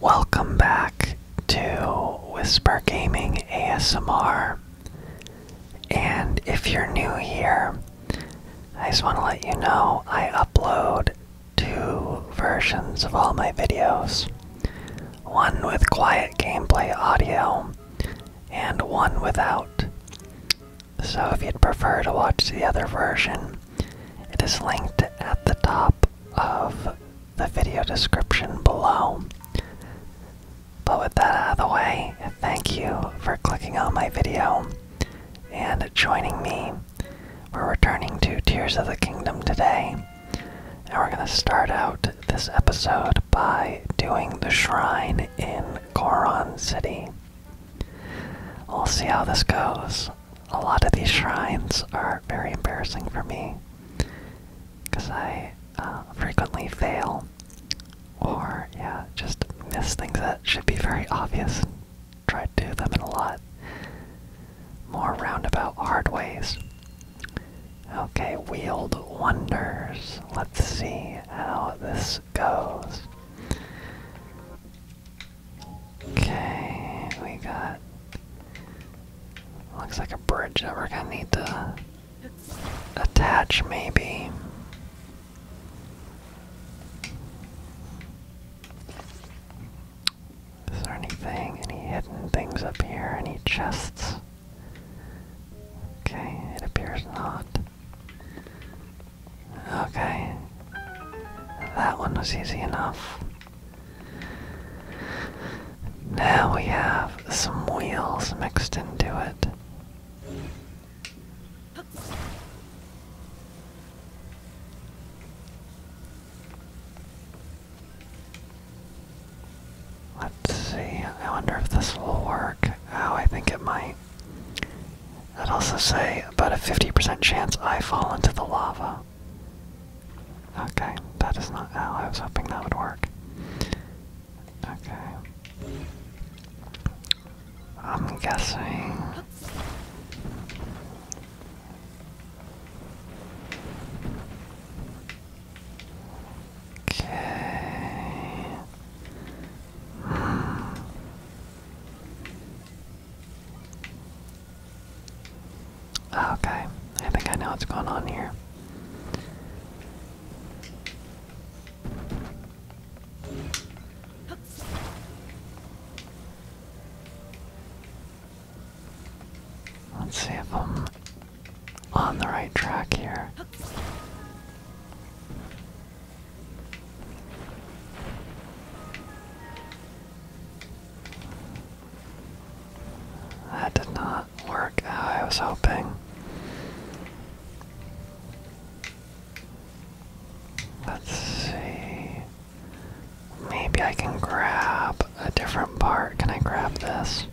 Welcome back to Whisper Gaming ASMR. And if you're new here, I just want to let you know I upload two versions of all my videos one with quiet gameplay audio, and one without. So if you'd prefer to watch the other version, it is linked at the top of the video description below. But with that out of the way, thank you for clicking on my video and joining me. We're returning to Tears of the Kingdom today, and we're going to start out this episode by doing the shrine in Koron City. We'll see how this goes a lot of these shrines are very embarrassing for me because I uh, frequently fail or, yeah, just miss things that should be very obvious try to do them in a lot more roundabout hard ways. Okay, Wield Wonders. Let's see how this goes. Okay, we got. Looks like a bridge that we're gonna need to attach, maybe. Is there anything, any hidden things up here? Any chests? Okay, it appears not. Okay. That one was easy enough. Now we have some wheels mixed into it. Let's see, I wonder if this will work. Oh, I think it might. I'd also say about a 50% chance I fall into the lava. Okay, that is not how I was hoping that would work. Okay. I'm guessing. Okay. Hmm. Okay, I think I know what's going on here. Let's see if I'm on the right track here. That did not work how I was hoping. Let's see. Maybe I can grab a different part. Can I grab this?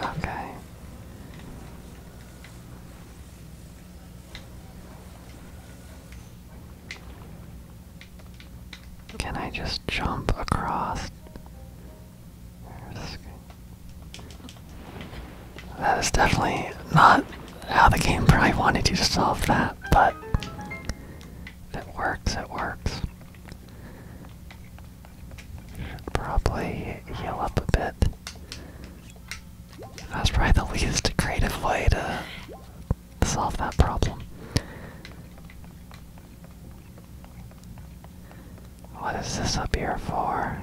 Okay. Can I just jump across? That is definitely not how the game probably wanted you to solve that, but it works, it works. Should probably heal up a bit. That's probably the least creative way to solve that problem. What is this up here for?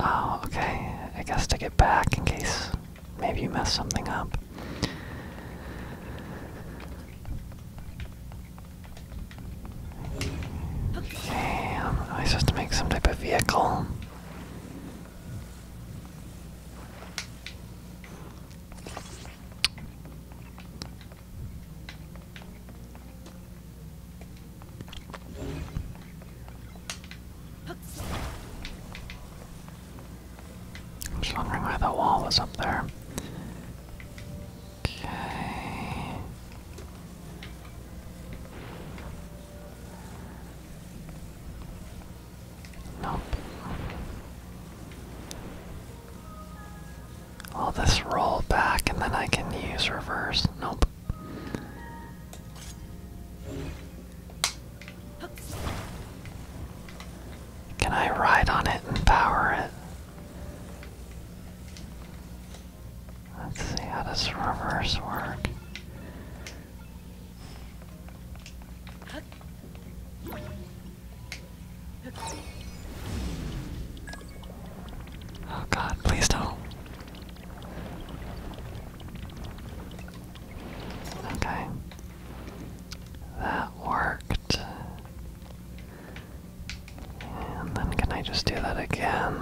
Oh, okay. I guess to get back in case maybe you mess something up. Okay, um, am I supposed to make some type of vehicle? I'm just wondering why the wall was up there. Okay. Nope. I'll just roll back and then I can use reverse. Nope. Can I ride on it and power it? Let's see how does reverse work. Oh god, please don't. Okay. That worked. And then can I just do that again?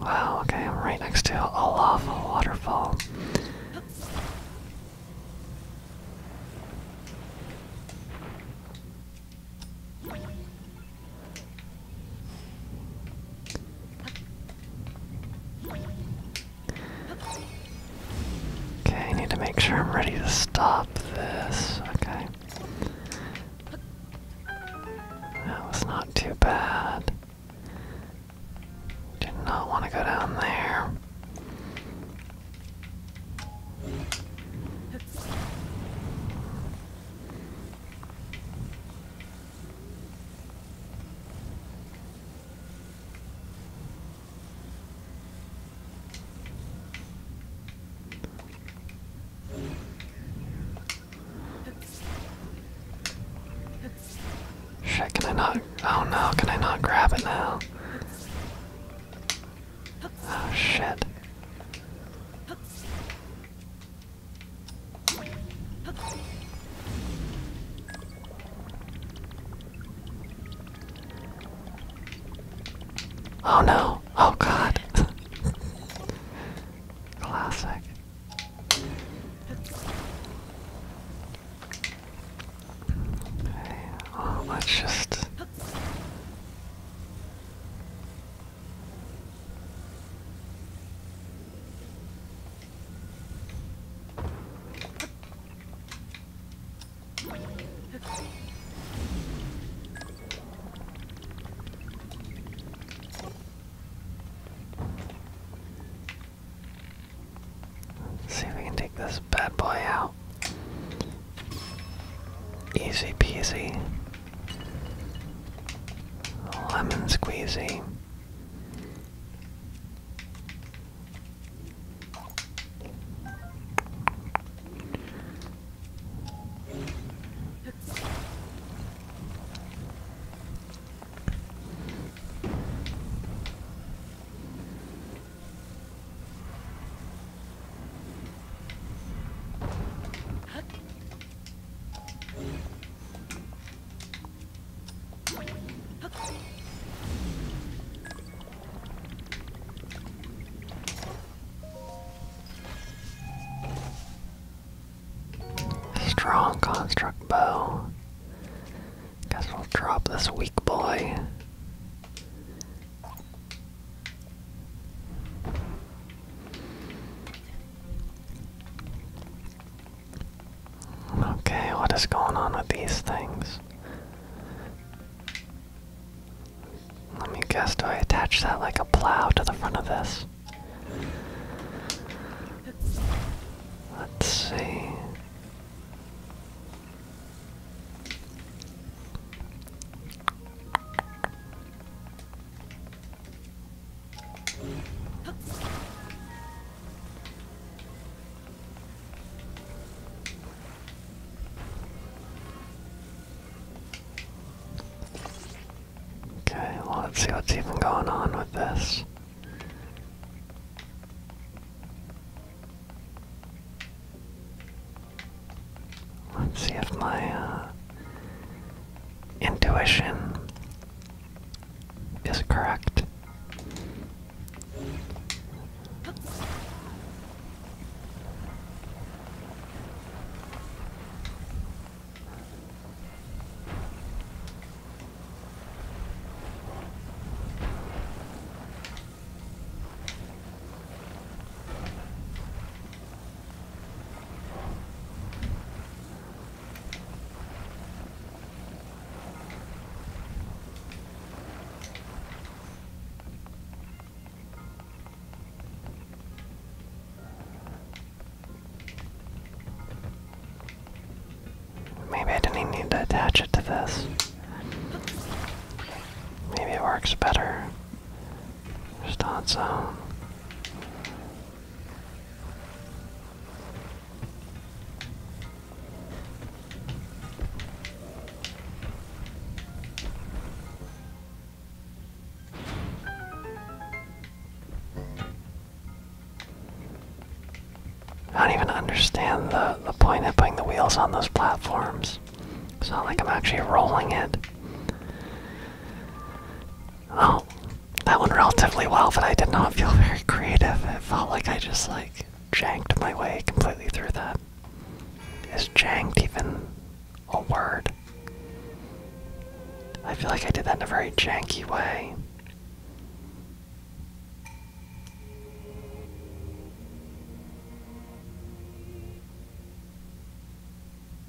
Wow, okay, I'm right next to a lava waterfall. Okay, I need to make sure I'm ready to stop this. Okay. That was not too bad. Did not want to go down there. Shit, can I not? Oh no, can I not grab it now? Oh shit. Oh no. Oh god. Classic. Okay, oh, let's just See if we can take this bad boy out. Easy peasy. Lemon squeezy. Strong construct bow. Guess we'll drop this weak boy. Okay, what is going on with these things? Let me guess, do I attach that like a plow to the front of this? Let's see. Okay, well, let's see what's even going on with this. Let's see if my uh, intuition is correct. Maybe I didn't even need to attach it to this. Maybe it works better. Just on its own. I don't even understand the, the point of putting the wheels on those platforms. It's not like I'm actually rolling it. Oh, that went relatively well, but I did not feel very creative. It felt like I just like janked my way completely through that. Is janked even a word? I feel like I did that in a very janky way.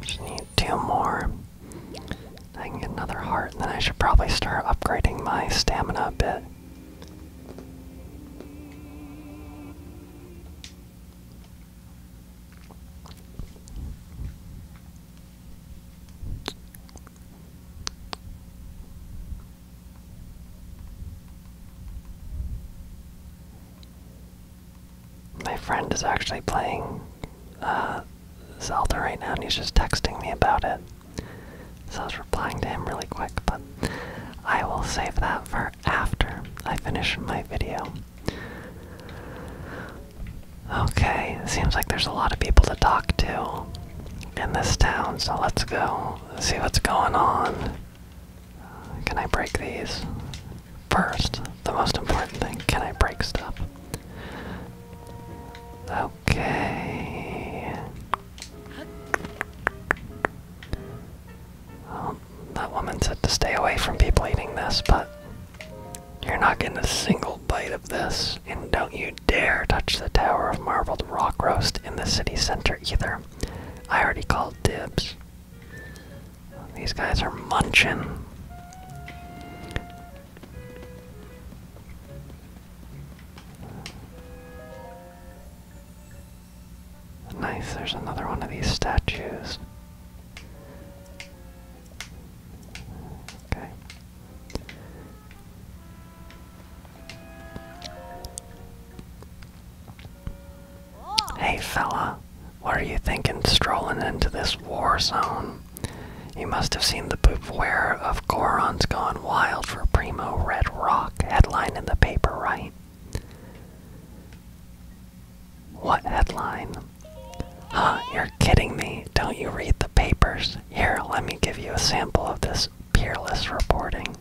Just need two more. I can get another heart, and then I should probably start upgrading my stamina a bit. My friend is actually playing uh, Zelda right now, and he's just texting me about it. So I was replying to him really quick, but I will save that for after I finish my video. Okay, it seems like there's a lot of people to talk to in this town, so let's go see what's going on. Can I break these? First, the most important thing can I break stuff? Okay. Well, that woman said to stay away from people eating this, but you're not getting a single bite of this, and don't you dare touch the Tower of Marbled Rock Roast in the city center either. I already called dibs. These guys are munching. Nice, there's another one of these statues. Okay. Hey fella, what are you thinking strolling into this war zone? You must have seen the beware of Goron's gone wild for Primo Red Rock headline in the paper, right? What headline? Huh, you're kidding me. Don't you read the papers? Here, let me give you a sample of this peerless reporting.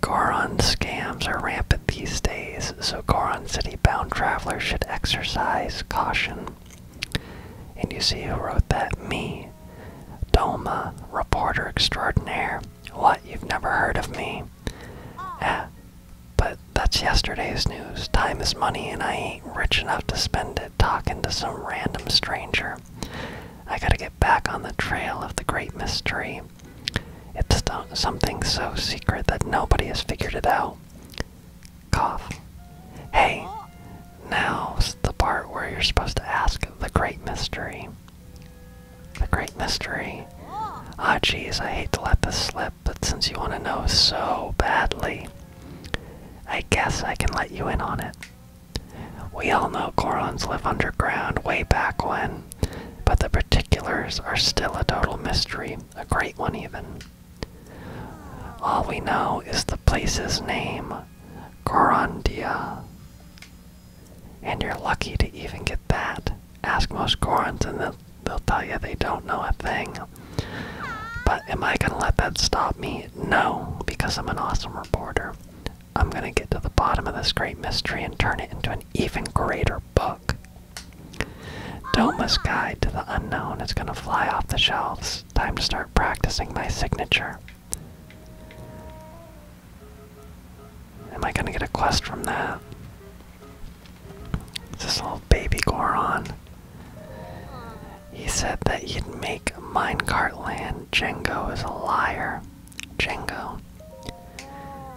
Goron scams are rampant these days, so Goron City bound travelers should exercise caution. And you see who wrote that? Me. Doma, reporter extraordinaire. What, you've never heard of me? Ah, but that's yesterday's news. Time is money, and I ain't rich enough to spend it talking to some random stranger. I gotta get back on the trail of the great mystery. It's something so secret that nobody has figured it out. Cough. Hey, now's the part where you're supposed to ask the great mystery. The great mystery. Ah, oh, jeez, I hate to let this slip, but since you want to know so badly, I guess I can let you in on it. We all know Korans live underground way back when, but the particulars are still a total mystery, a great one even. All we know is the place's name, Korandia. And you're lucky to even get that. Ask most Korans, and they'll, they'll tell you they don't know a thing. But am I gonna let that stop me? No, because I'm an awesome reporter. I'm gonna get to the bottom of this great mystery and turn it into an even greater book. Doma's Guide to the Unknown is gonna fly off the shelves. Time to start practicing my signature. Am I gonna get a quest from that? this little baby Goron? He said that he'd make Minecart Land. Django is a liar. Django.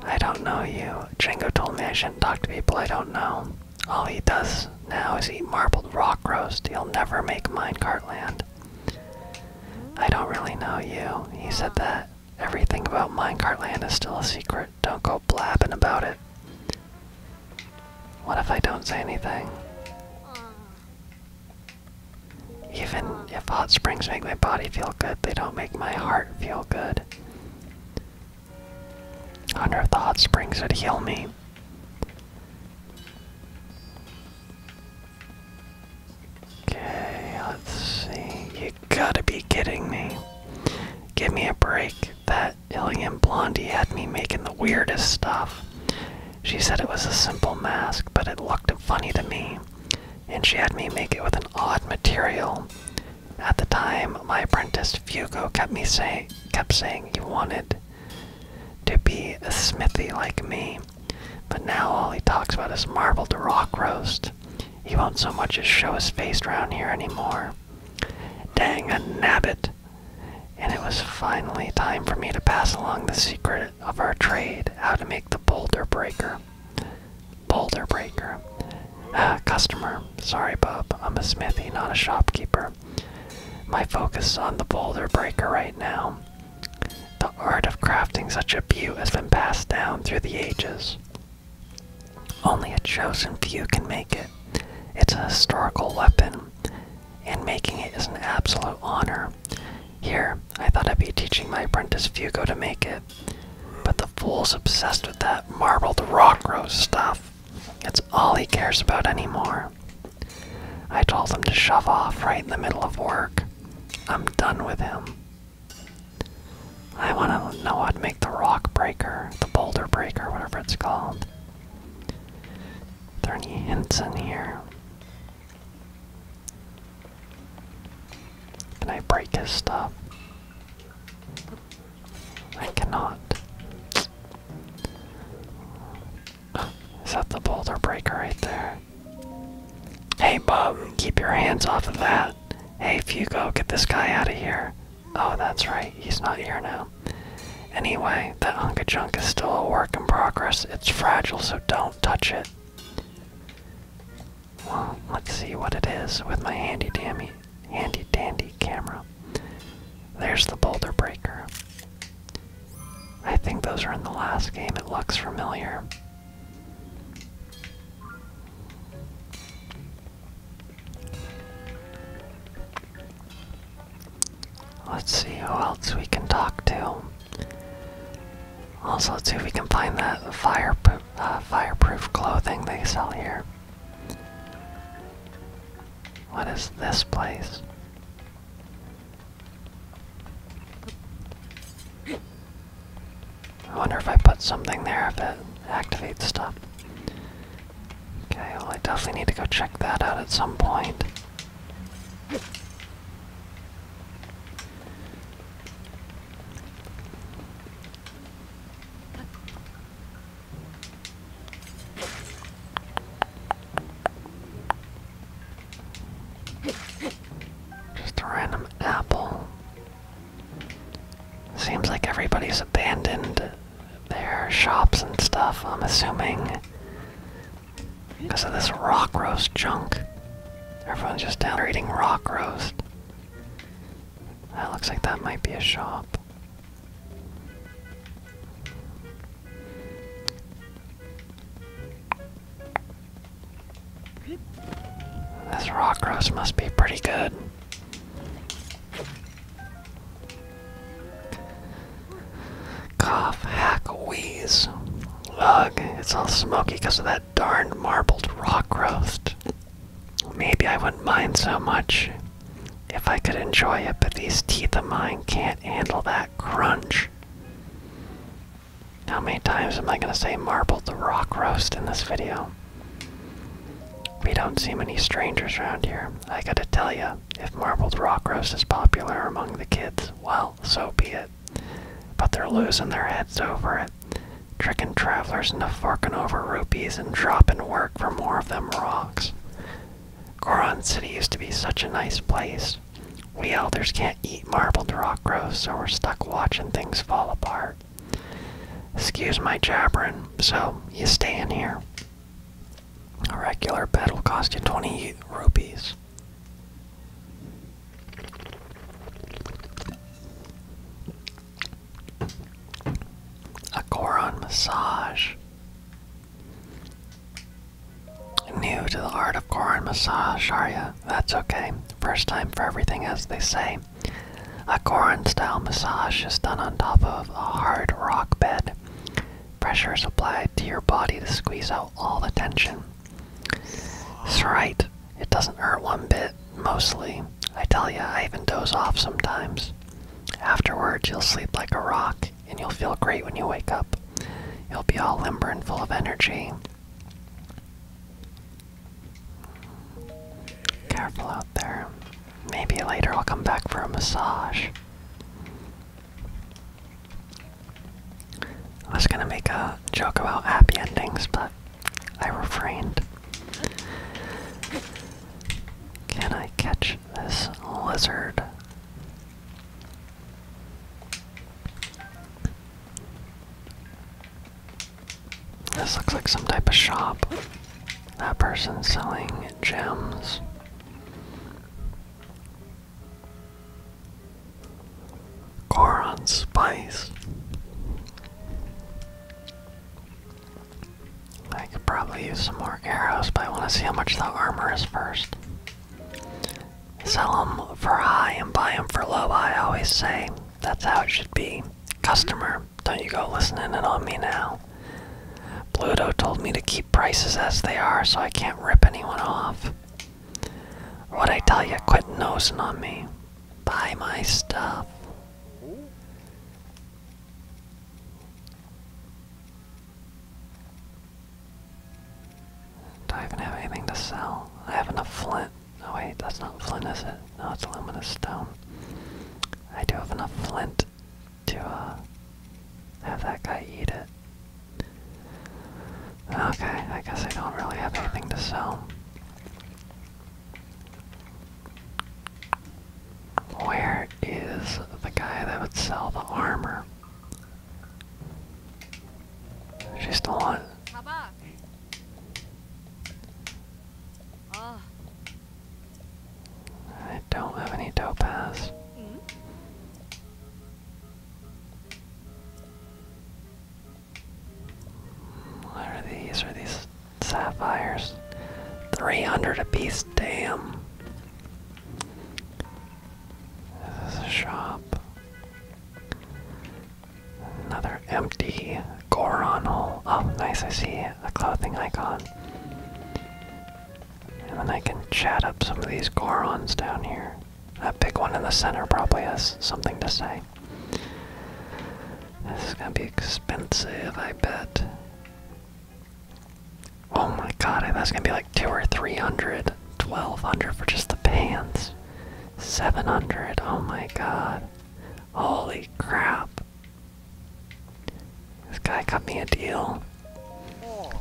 I don't know you. Django told me I shouldn't talk to people I don't know. All he does now is eat marbled rock roast. He'll never make Minecart Land. I don't really know you. He said that. Everything about Minecart Land is still a secret. Don't go blabbing about it. What if I don't say anything? Even if hot springs make my body feel good, they don't make my heart feel good. I wonder if the hot springs would heal me. Okay, let's see. You gotta be kidding me. Give me a break. That Ilian Blondie had me making the weirdest stuff. She said it was a simple mask, but it looked funny to me, and she had me make it with an odd material. At the time, my apprentice Fugo kept me say kept saying he wanted to be a smithy like me, but now all he talks about is marble to rock roast. He won't so much as show his face round here anymore. Dang a nabbit! and it was finally time for me to pass along the secret of our trade how to make the boulder breaker. Boulder breaker. Ah, customer. Sorry, Bob. I'm a smithy, not a shopkeeper. My focus is on the boulder breaker right now. The art of crafting such a butte has been passed down through the ages. Only a chosen few can make it. It's a historical weapon, and making it is an absolute honor. Here, I thought I'd be teaching my apprentice Fugo to make it, but the fool's obsessed with that marbled rock rose stuff. It's all he cares about anymore. I told him to shove off right in the middle of work. I'm done with him. I want to know how to make the rock breaker, the boulder breaker, whatever it's called there any hints in here? Can I break his stuff? I cannot. Is that the boulder breaker right there? Hey, Bob! keep your hands off of that. Hey, Fugo, get this guy out of here. Oh, that's right, he's not here now. Anyway, that unca junk is still a work in progress. It's fragile, so don't touch it. Well, let's see what it is with my handy dandy, handy dandy camera. There's the boulder breaker. I think those are in the last game. It looks familiar. Let's see who else we can talk to. Also, let's see if we can find that fire uh, fireproof clothing they sell here. What is this place? I wonder if I put something there if it activates stuff. Okay, I definitely need to go check that out at some point. Just a random apple. Seems like everybody's abandoned their shops and stuff, I'm assuming. Because of this rock roast junk. Everyone's just down there eating rock roast. That looks like that might be a shop. This rock roast must be pretty good. Cough, hack, wheeze. Ugh, it's all smoky because of that darn marbled rock roast. Maybe I wouldn't mind so much if I could enjoy it, but these teeth of mine can't handle that crunch. How many times am I gonna say marbled the rock roast in this video? We don't seem any strangers around here, I gotta tell you if marbled rock roast is popular among the kids, well, so be it. But they're losing their heads over it, tricking travelers into forking over rupees and dropping work for more of them rocks. Goron City used to be such a nice place. We elders can't eat marbled rock roast, so we're stuck watching things fall apart. Excuse my jabbering, so you stay in here. A regular bed will cost you 20 rupees. A Goron massage. New to the art of Goron massage, are ya? That's okay. First time for everything, as they say. A Goron style massage is done on top of a hard rock bed. Pressure is applied to your body to squeeze out all the tension. That's right. It doesn't hurt one bit, mostly. I tell ya, I even doze off sometimes. Afterwards, you'll sleep like a rock, and you'll feel great when you wake up. You'll be all limber and full of energy. Careful out there. Maybe later I'll come back for a massage. I was gonna make a joke about happy endings, but I refrained. Can I catch this lizard? This looks like some type of shop. That person's selling gems. Goron Spice. I could probably use some more arrows, but I want to see how much the armor is first. Sell them for high and buy them for low, I always say. That's how it should be. Customer, don't you go listening in on me now. Pluto told me to keep prices as they are so I can't rip anyone off. What I tell you, quit nosing on me. Buy my stuff. Do I even have anything to sell? I have enough flint. No, wait, that's not flint, is it? No, it's luminous stone. I do have enough flint to uh, have that guy eat it. Okay, I guess I don't really have anything to sell. Where is the guy that would sell the armor? She's still on. I don't have any topaz. Mm. What are these? Are these sapphires? 300 apiece, damn. This is a shop. Another empty Goron oh, nice, I see a clothing icon. And then I can chat up some of these Gorons down here. That big one in the center probably has something to say. This is gonna be expensive, I bet. Oh my god, that's gonna be like two or three hundred. Twelve hundred for just the pants. Seven hundred. Oh my god. Holy crap. This guy got me a deal.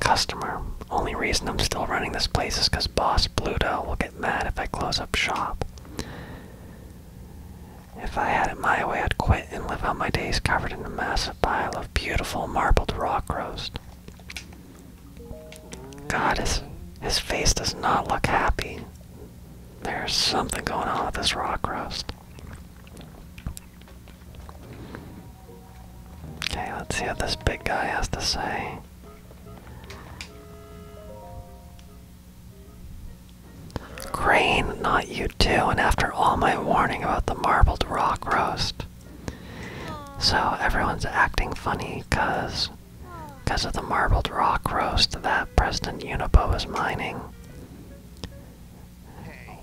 Customer. Only reason I'm still running this place is because Boss Pluto will get mad if I close up shop. If I had it my way, I'd quit and live out my days covered in a massive pile of beautiful marbled rock roast. God, his, his face does not look happy. There's something going on with this rock roast. Okay, let's see what this big guy has to say. Crane, not you too, and after all my warning about the marbled rock roast. So everyone's acting funny cause of the marbled rock roast that President Unipo is mining.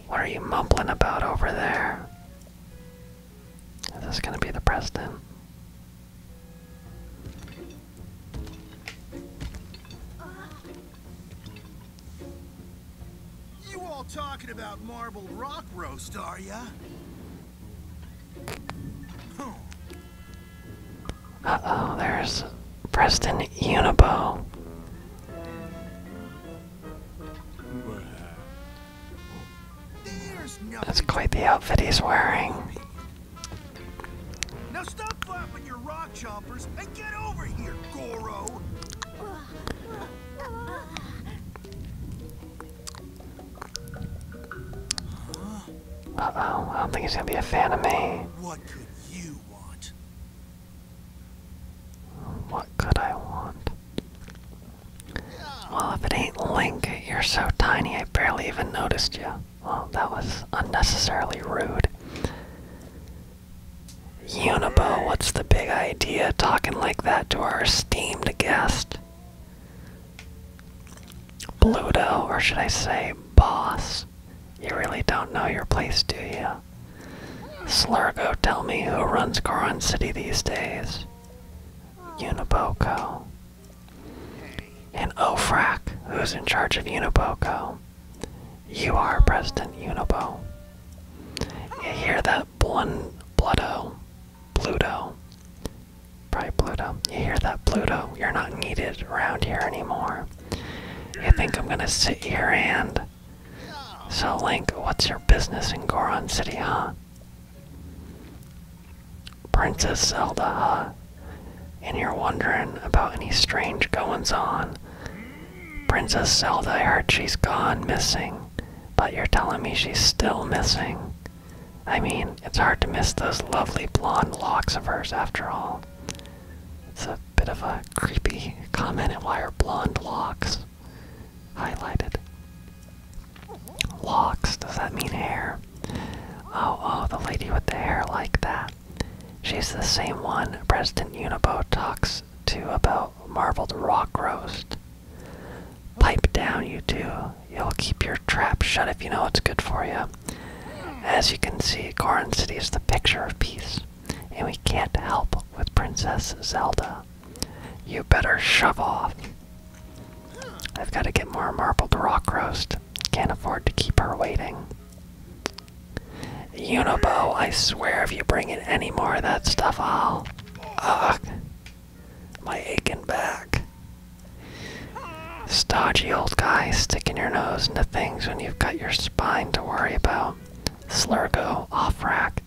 What are you mumbling about over there? Is this going to be the Preston? You all talking about marble rock roast, are ya? Uh oh, there's Preston Unibo. That's quite the outfit he's wearing. Now stop flapping your rock chompers and get over here, Goro! Uh-oh, I don't think he's gonna be a fan of me. What could I want? Well, if it ain't Link, you're so tiny I barely even noticed you. Well, that was unnecessarily rude. Unibo, what's the big idea talking like that to our esteemed guest? Bluto, or should I say boss? You really don't know your place, do you? Slurgo, tell me who runs Goron City these days. Uniboko. And Ofrak, who's in charge of Uniboko? You are President Unibo. You hear that blun Bluto. Pluto. Probably Pluto. You hear that Pluto? You're not needed around here anymore. You think I'm gonna sit here and so, Link, what's your business in Goron City, huh? Princess Zelda, huh? And you're wondering about any strange goings on. Princess Zelda, I heard she's gone missing, but you're telling me she's still missing. I mean, it's hard to miss those lovely blonde locks of hers after all. It's a bit of a creepy comment on why her blonde locks highlighted. Locks, does that mean hair? Oh, oh, the lady with the hair like that. She's the same one President Unibo talks to about marbled rock roast. Pipe down, you two. You'll keep your trap shut if you know it's good for you. As you can see, Goron City is the picture of peace, and we can't help with Princess Zelda. You better shove off. I've got to get more marbled rock roast. Can't afford to keep her waiting. Unibo, I swear if you bring in any more of that stuff, I'll. Ugh. My aching back. Stodgy old guy sticking your nose into things when you've got your spine to worry about. Slurgo, off rack.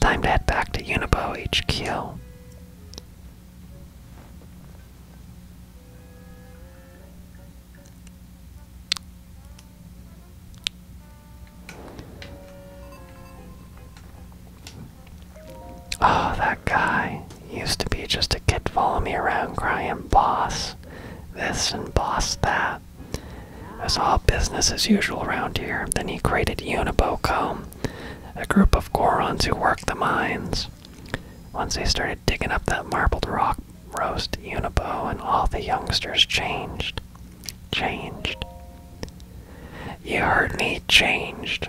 Time to head back to Unibo HQ. Oh, ah, that guy used to be just a kid following me around crying boss this and boss that. It's all business as usual around here. Then he created Unibocom, a group of Gorons who worked the mines. Once they started digging up that marbled rock roast, Unibo and all the youngsters changed. Changed. You heard me, changed.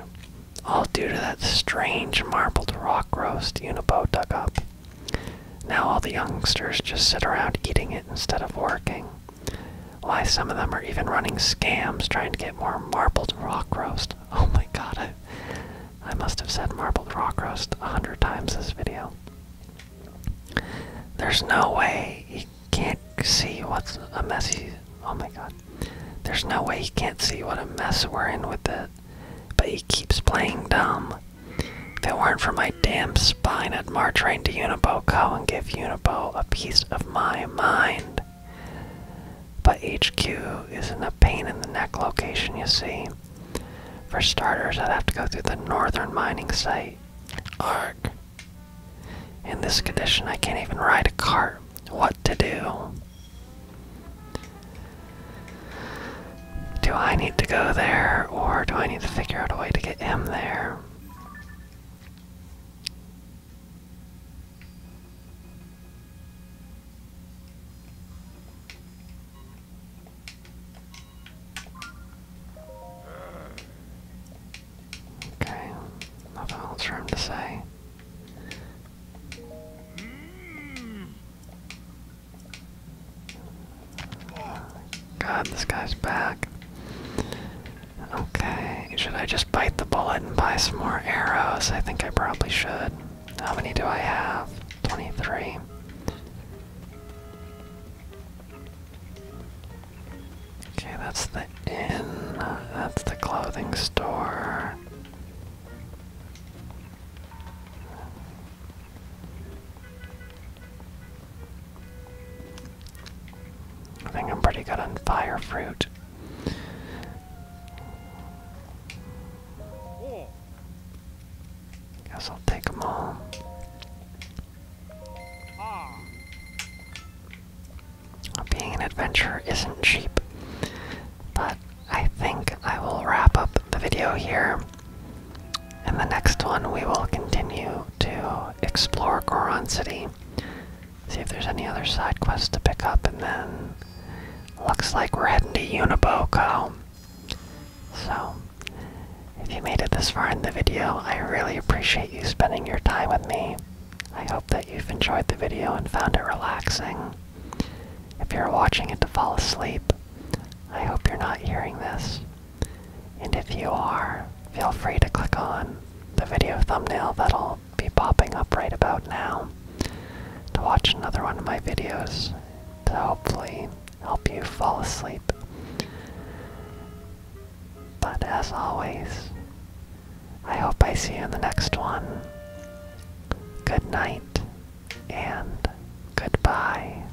All due to that strange marbled rock roast Unibo dug up. Now all the youngsters just sit around eating it instead of working. Why some of them are even running scams trying to get more marbled rock roast. Oh my god, I, I must have said marbled rock roast a hundred times this video. There's no way he can't see what's a messy. Oh my god. There's no way he can't see what a mess we're in with it. But he keeps playing dumb. If it weren't for my damn spine I'd march right into Uniboco and give Unibo a piece of my mind. But HQ is in a pain in the neck location, you see. For starters, I'd have to go through the northern mining site. Arc. In this condition, I can't even ride a cart. What to do? Do I need to go there, or do I need to figure out a way to get him there? Okay, nothing else for him to say. Mm. God, this guy's back. Okay, should I just bite the bullet and buy some more arrows? I think I probably should. How many do I have? 23. Okay, that's the inn. That's the clothing store. I think I'm pretty good on fire fruit. Guess I'll take them all. Being an adventurer isn't cheap, but I think I will wrap up the video here. and the next one, we will continue to explore Goron City, see if there's any other side quests to pick up, and then looks like we're heading to Uniboko. So, if you made it this far in the video, I really appreciate you spending your time with me. I hope that you've enjoyed the video and found it relaxing. If you're watching it to fall asleep, I hope you're not hearing this. And if you are, feel free to click on the video thumbnail that'll be popping up right about now to watch another one of my videos to hopefully help you fall asleep. But as always, I hope I see you in the next one. Good night and goodbye.